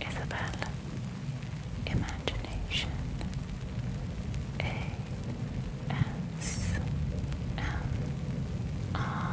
Isabella, Imagination, A S M R.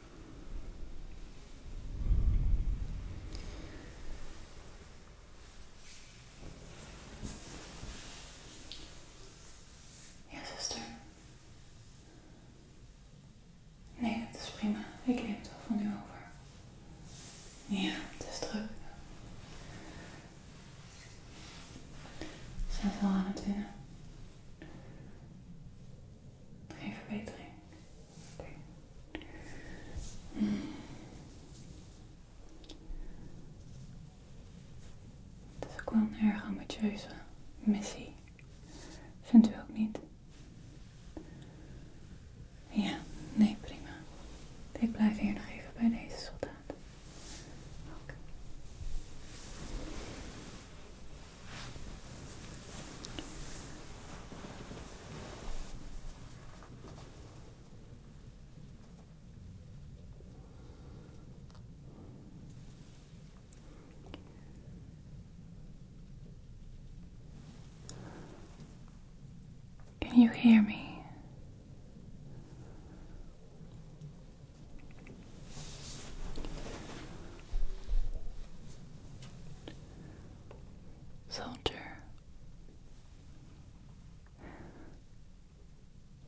Ja, zuster. Nee, dat is prima. Ik neem het al van jou over. Ja, het is druk. We aan het innen? Geen verbetering. Oké. Hmm. Het is ook wel een erg ambitieuze missie. Vindt u ook niet? Ja, nee, prima. Ik blijf hier nog even bij deze soldaat. Oké. Can you hear me? Soldier,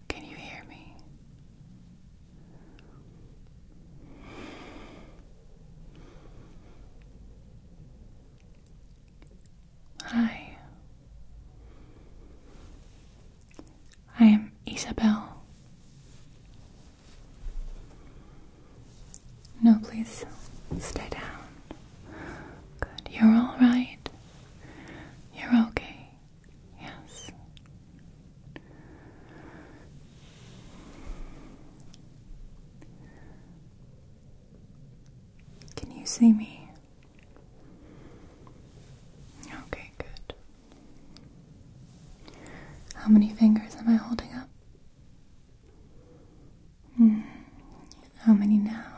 can you hear me? Hi, I am Isabel. No, please stay down. Good. You're all right. You're okay. Yes. Can you see me? Okay, good. How many fingers am I holding up? Hmm. How many now?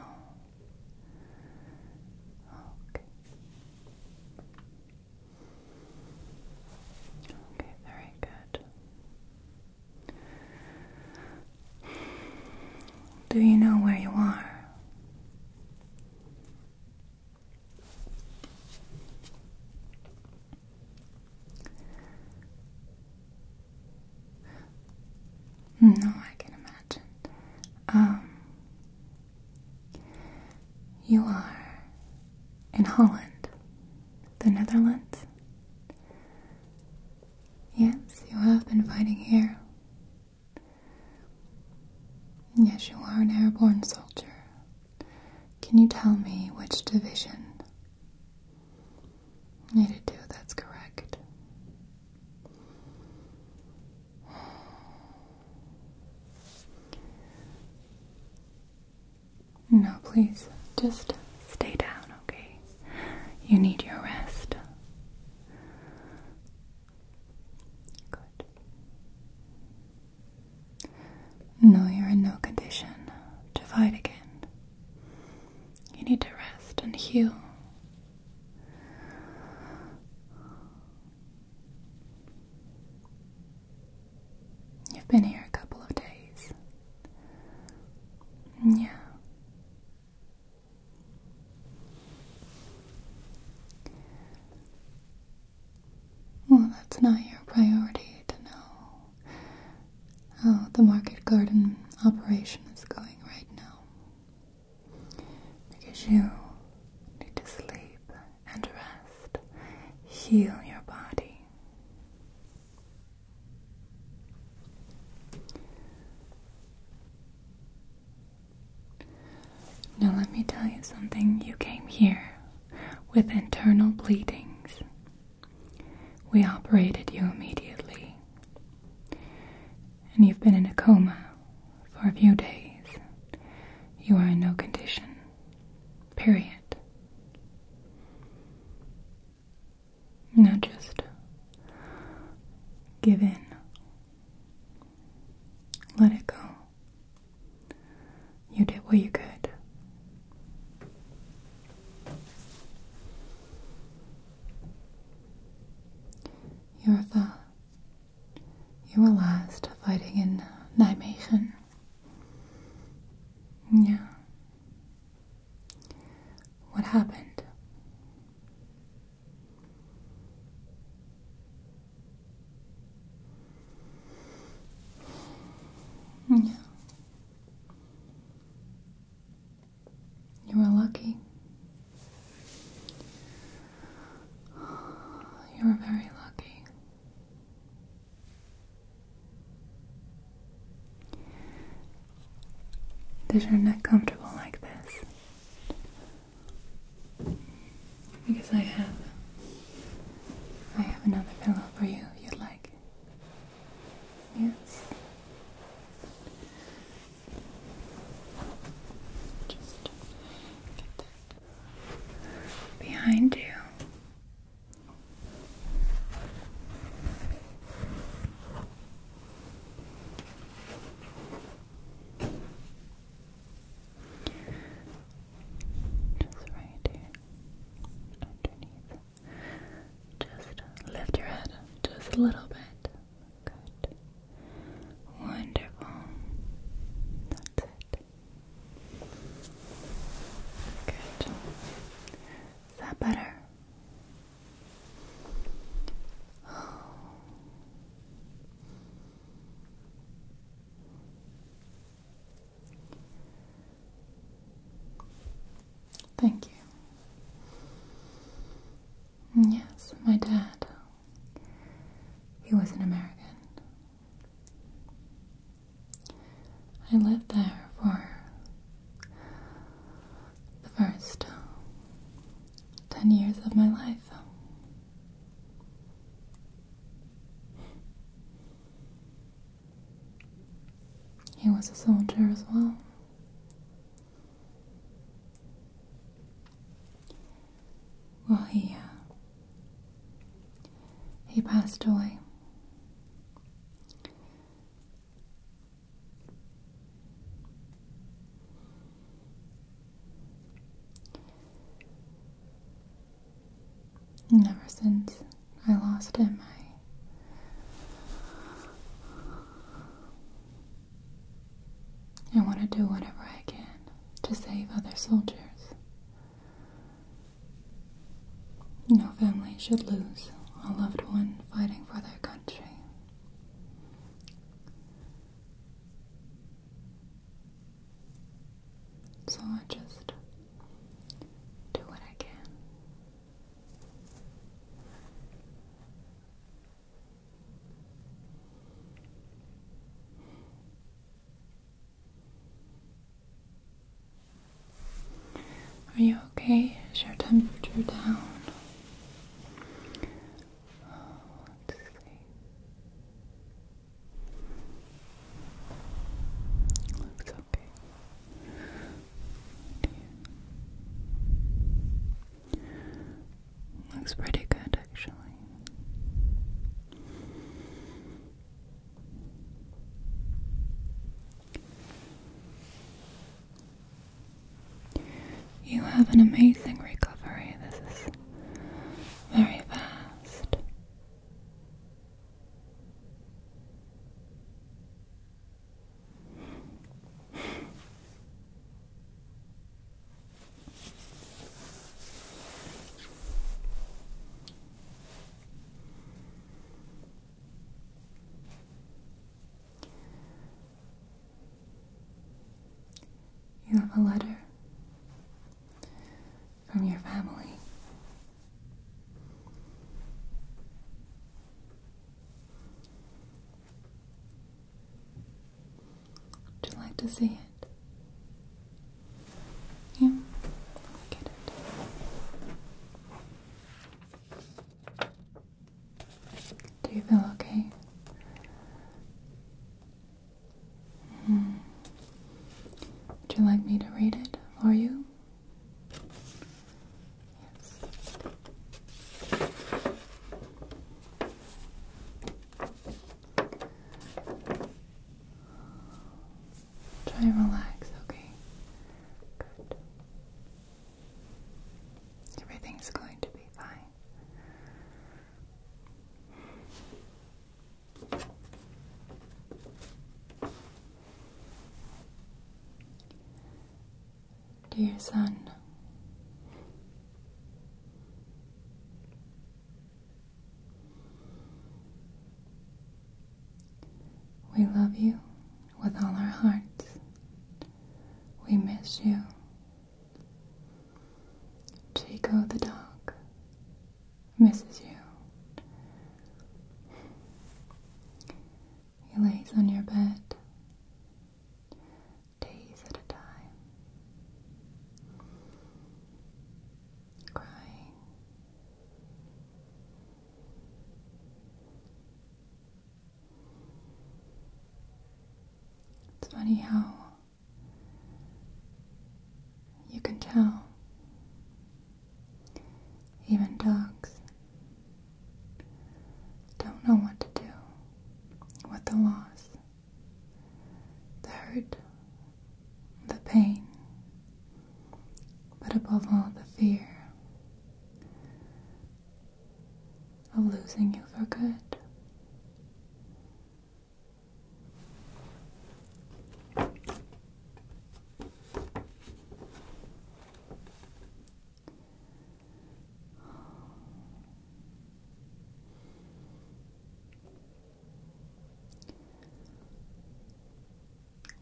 Okay. Okay, very good. Do you know where you are? No, I can imagine. Um, you are in Holland, the Netherlands. Yes, you have been fighting here. Yes, you are an airborne soldier can you tell me which division? 82, that's correct. No, please, just stay down, okay? You need your rest. Good. No, you're in no condition to fight again. You need to rest and heal. You've been here a couple of days. Yeah. Well, that's not your priority to know how the market garden operation is going right now. Because you need to sleep and rest, heal your body. Now, let me tell you something. You came here with internal bleedings. We operated you immediately, and you've been in a coma for a few days. You are in no condition. Period. Now just give in. Let it go. You did what you could. Jurtha, you were last fighting in Nijmegen. Yeah. What happened? Yeah. You are lucky. You are very lucky. Does your neck comfortable like this? Because I have I have another pillow for you if you'd like. Yes. Just behind you. Just right here underneath. Just lift your head just a little bit. Good. Wonderful. That's it. Good. Is that better? Thank you. Mm, yes, my dad. He was an American. I lived there for the first ten years of my life. He was a soldier as well. Well, he uh, he passed away. And ever since I lost him, I want to do whatever I can to save other soldiers. No family should lose a loved one fighting for their country. So I just do what I can. Are you okay? Is your temperature down? Oh, let's see. Looks okay. Looks pretty good actually. You have an amazing recovery. This is very fast. You have a letter from your family. Would you like to see it? Yeah, get it. Do you feel okay? Mm. Would you like me to read it for you? Yes. Try and relax, okay? Good. Everything's going to be fine. Dear son, we love you with all our hearts. We miss you. Chico the dog misses you. He lays on your bed days at a time, crying. It's funny how you can tell even dogs don't know what to do with the loss, the hurt, the pain, but above all, the fear of losing you for good.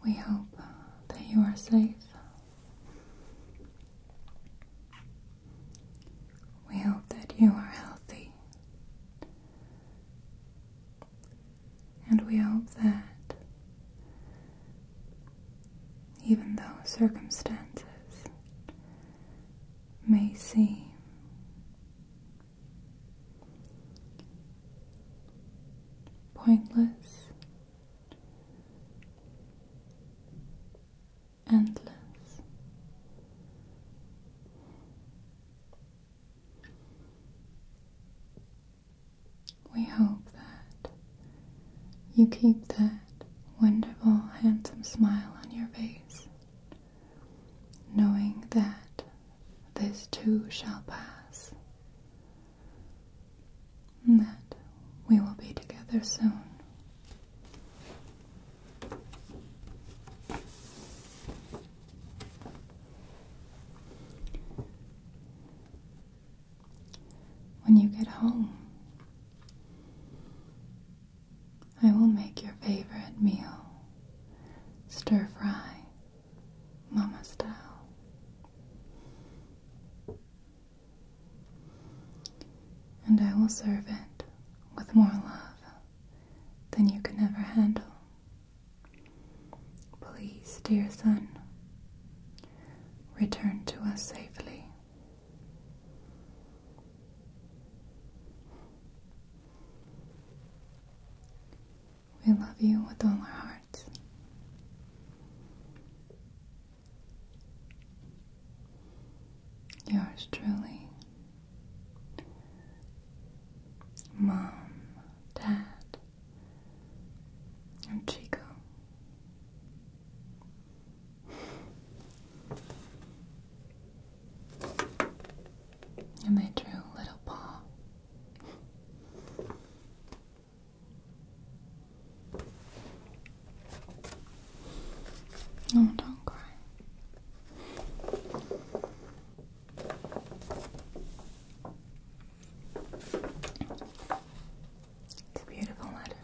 We hope that you are safe. We hope that you are healthy. And we hope that even though circumstances may seem pointless, endless, we hope that you keep that wonderful, handsome smile on your face, knowing that this too shall pass, and that we will be together soon. When you get home, I will make your favorite meal stir fry, mama style. And I will serve it with more love than you can ever handle. Please, dear son, return to us safely. We love you with all our hearts. Yours truly, Mom, Dad and Chico. And they drew Little Paw. Oh, don't cry. It's a beautiful letter.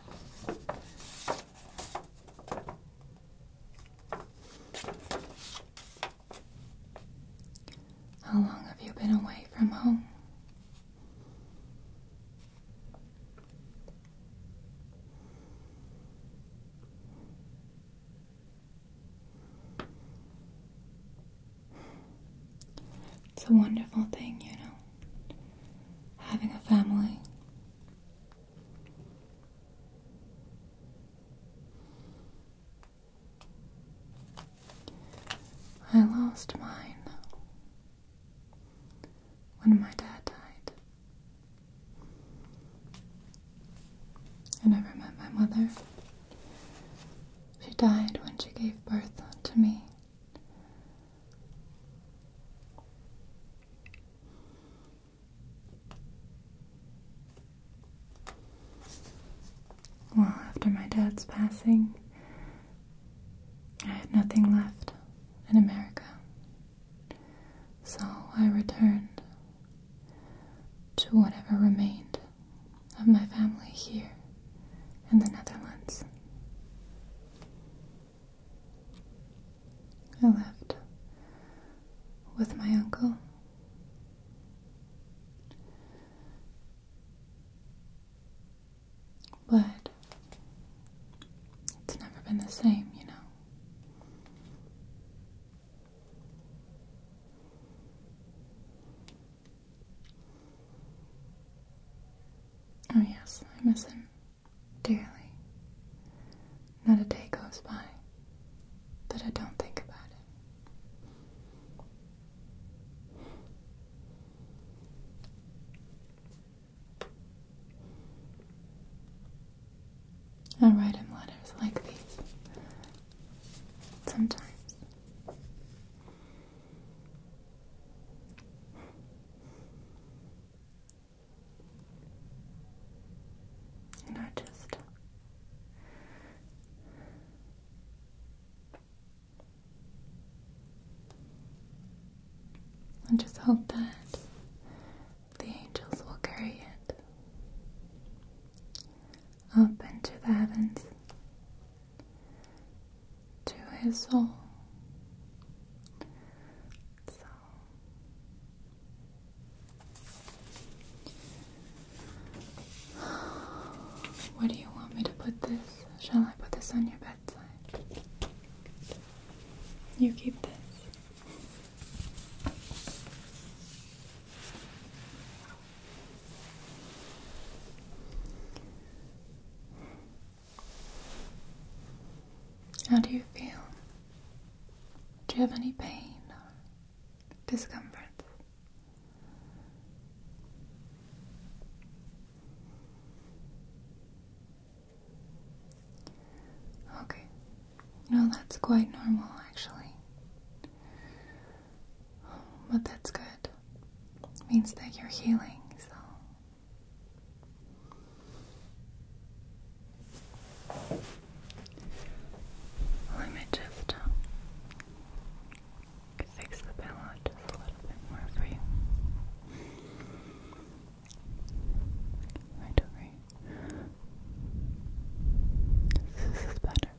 How long have you been away from home? It's a wonderful thing, you know, having a family. I lost mine when my dad died. I never met my mother. She died when she gave birth to me. Well, after my dad's passing, I had nothing left in America. So I returned to whatever remained of my family here in the Netherlands. I lived with my uncle. But it's never been the same, you know. Oh, yes, I miss him dearly. Not a day goes by that I don't think about it. I write him letters like these sometimes. And I just I just hope that the angels will carry it up into the heavens to his soul. So where do you want me to put this? Shall I put this on your bedside? You keep this. How do you feel? Do you have any pain or discomfort? Okay. No, that's quite normal actually. But that's good. means that you're healing, so. Let me just uh, fix the pillow just a little bit more for you. Right over This is better.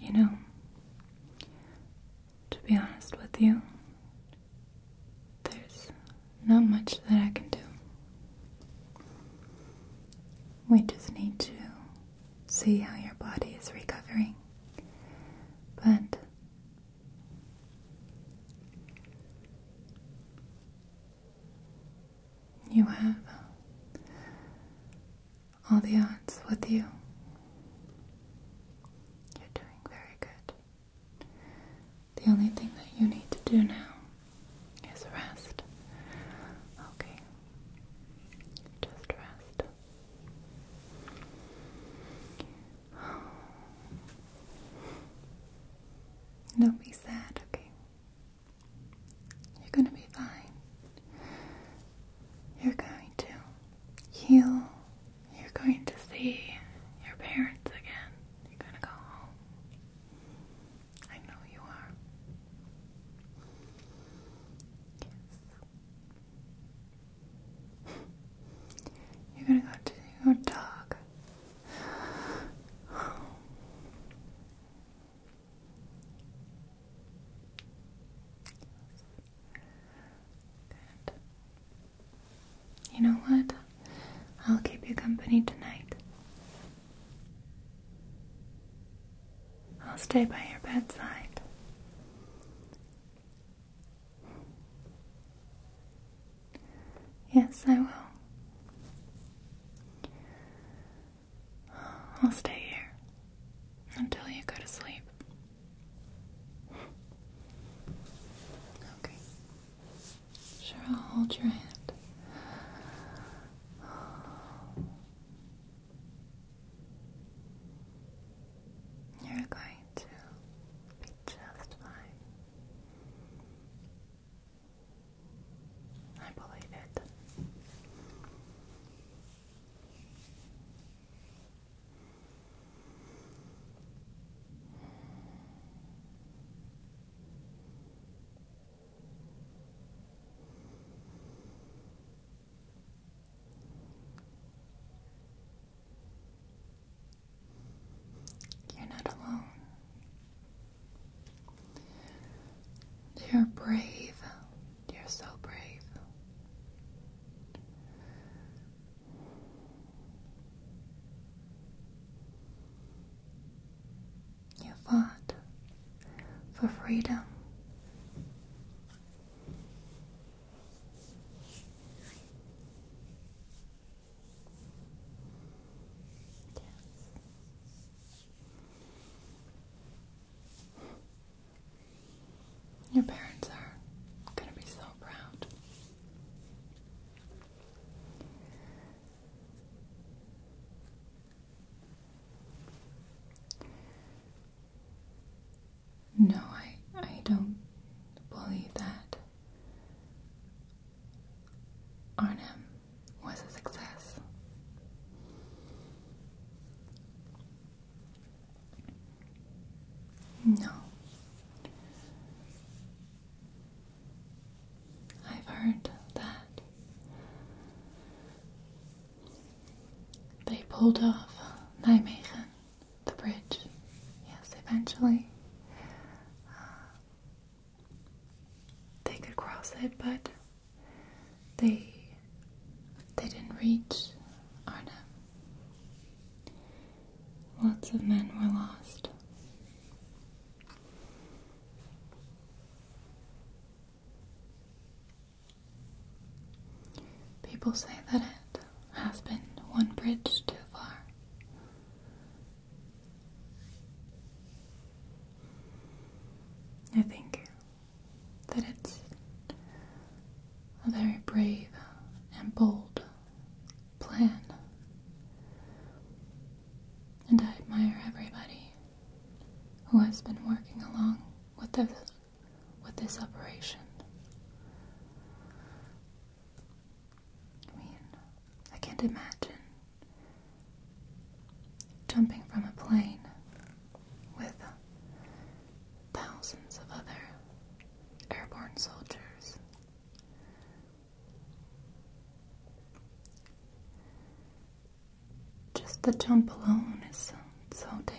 You know, to be honest with you, there's not much that I can do. We just need to see how your body is recovering. But you have all the odds with you. You're doing very good. The only thing that you need to do now is rest. Okay. Just rest. Don't be sad, okay? You're gonna be fine. You're going to heal. You're going to see your parents again. You're going to go home. I know you are. Yes. You're going to go to your dog. You know what? I'll keep you company tonight. I'll stay by your bedside. Yes, I will. I'll stay here until you go to sleep. Okay. Sure, I'll hold your hand. You're going to be just fine. I believe it. You're not alone. You're brave you're so brave. You fought for freedom. Your parents are going to be so proud. No, I I don't believe that Arnhem was a success. No. I've heard that they pulled off Nijmegen, the bridge, yes, eventually. Uh, they could cross it, but they they didn't reach Arnhem. Lots of men were lost. People say that it has been one bridge too far. I think that it's a very brave and bold plan. And I admire everybody who has been working along with this, with this operation. I mean, I can't imagine jumping from a plane with thousands of other airborne soldiers. Just the jump alone is so, so dangerous.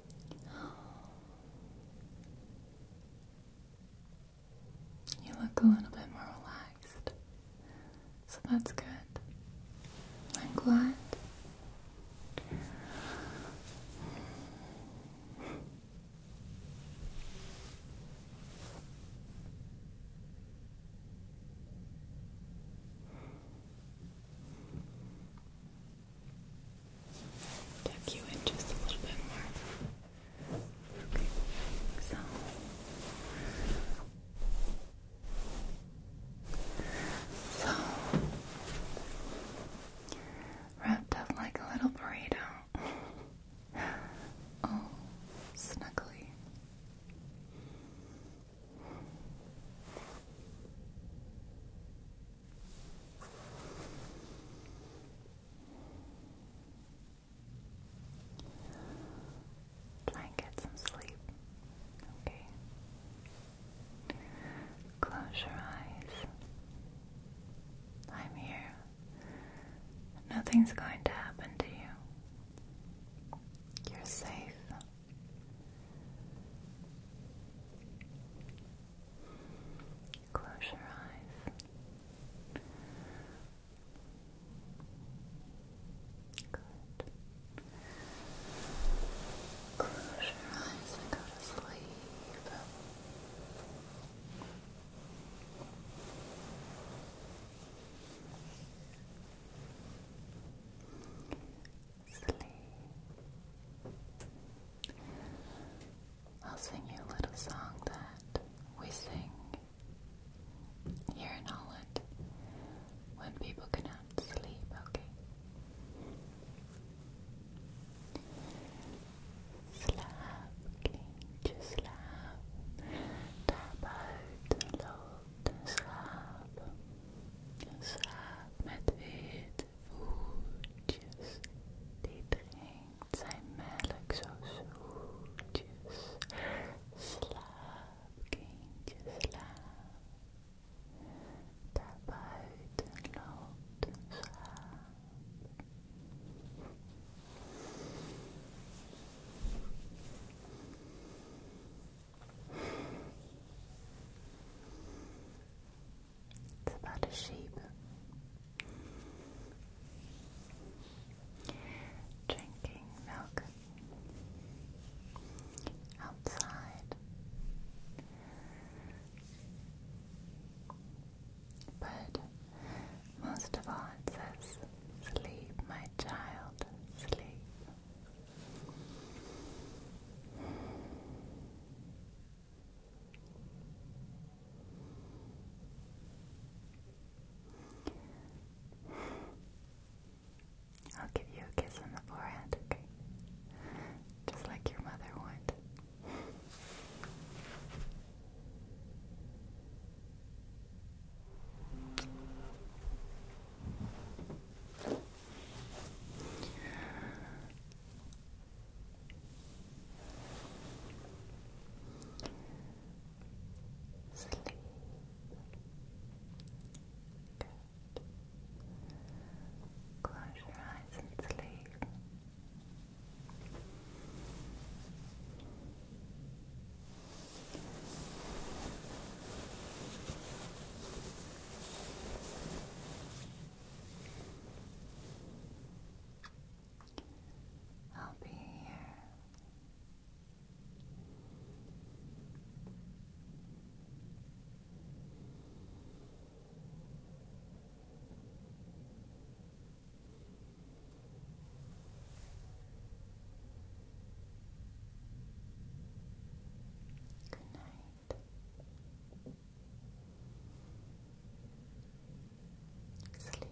You look a little bit more relaxed. So that's good. I'm glad tuck you in just a little bit more. Okay, so wrapped up like a little burrito. oh, snuggly. Try and get some sleep, okay? Close your eyes. I'm here. Nothing's going to happen to you. You're safe. Close your eyes. Good. Close your eyes and go to sleep sleep. I'll sing you a little song that we sing here in Holland when people cannot sleep, okay? Slaap, kindje, slaap. Daar buiten loopt een met wit voeltjes die drinkt zijn melk zo Slaap, kindje, slaap. Daar buiten loopt een schaap. It's about a sheep. Drinking milk outside, but most of all, it says, Sleep, my child, sleep. I'll give you a kiss on the forehead, okay? Just like your mother would. Sleep. Good. Close your eyes and sleep. I'll be here. night. Sleep tight. Good night. Good night.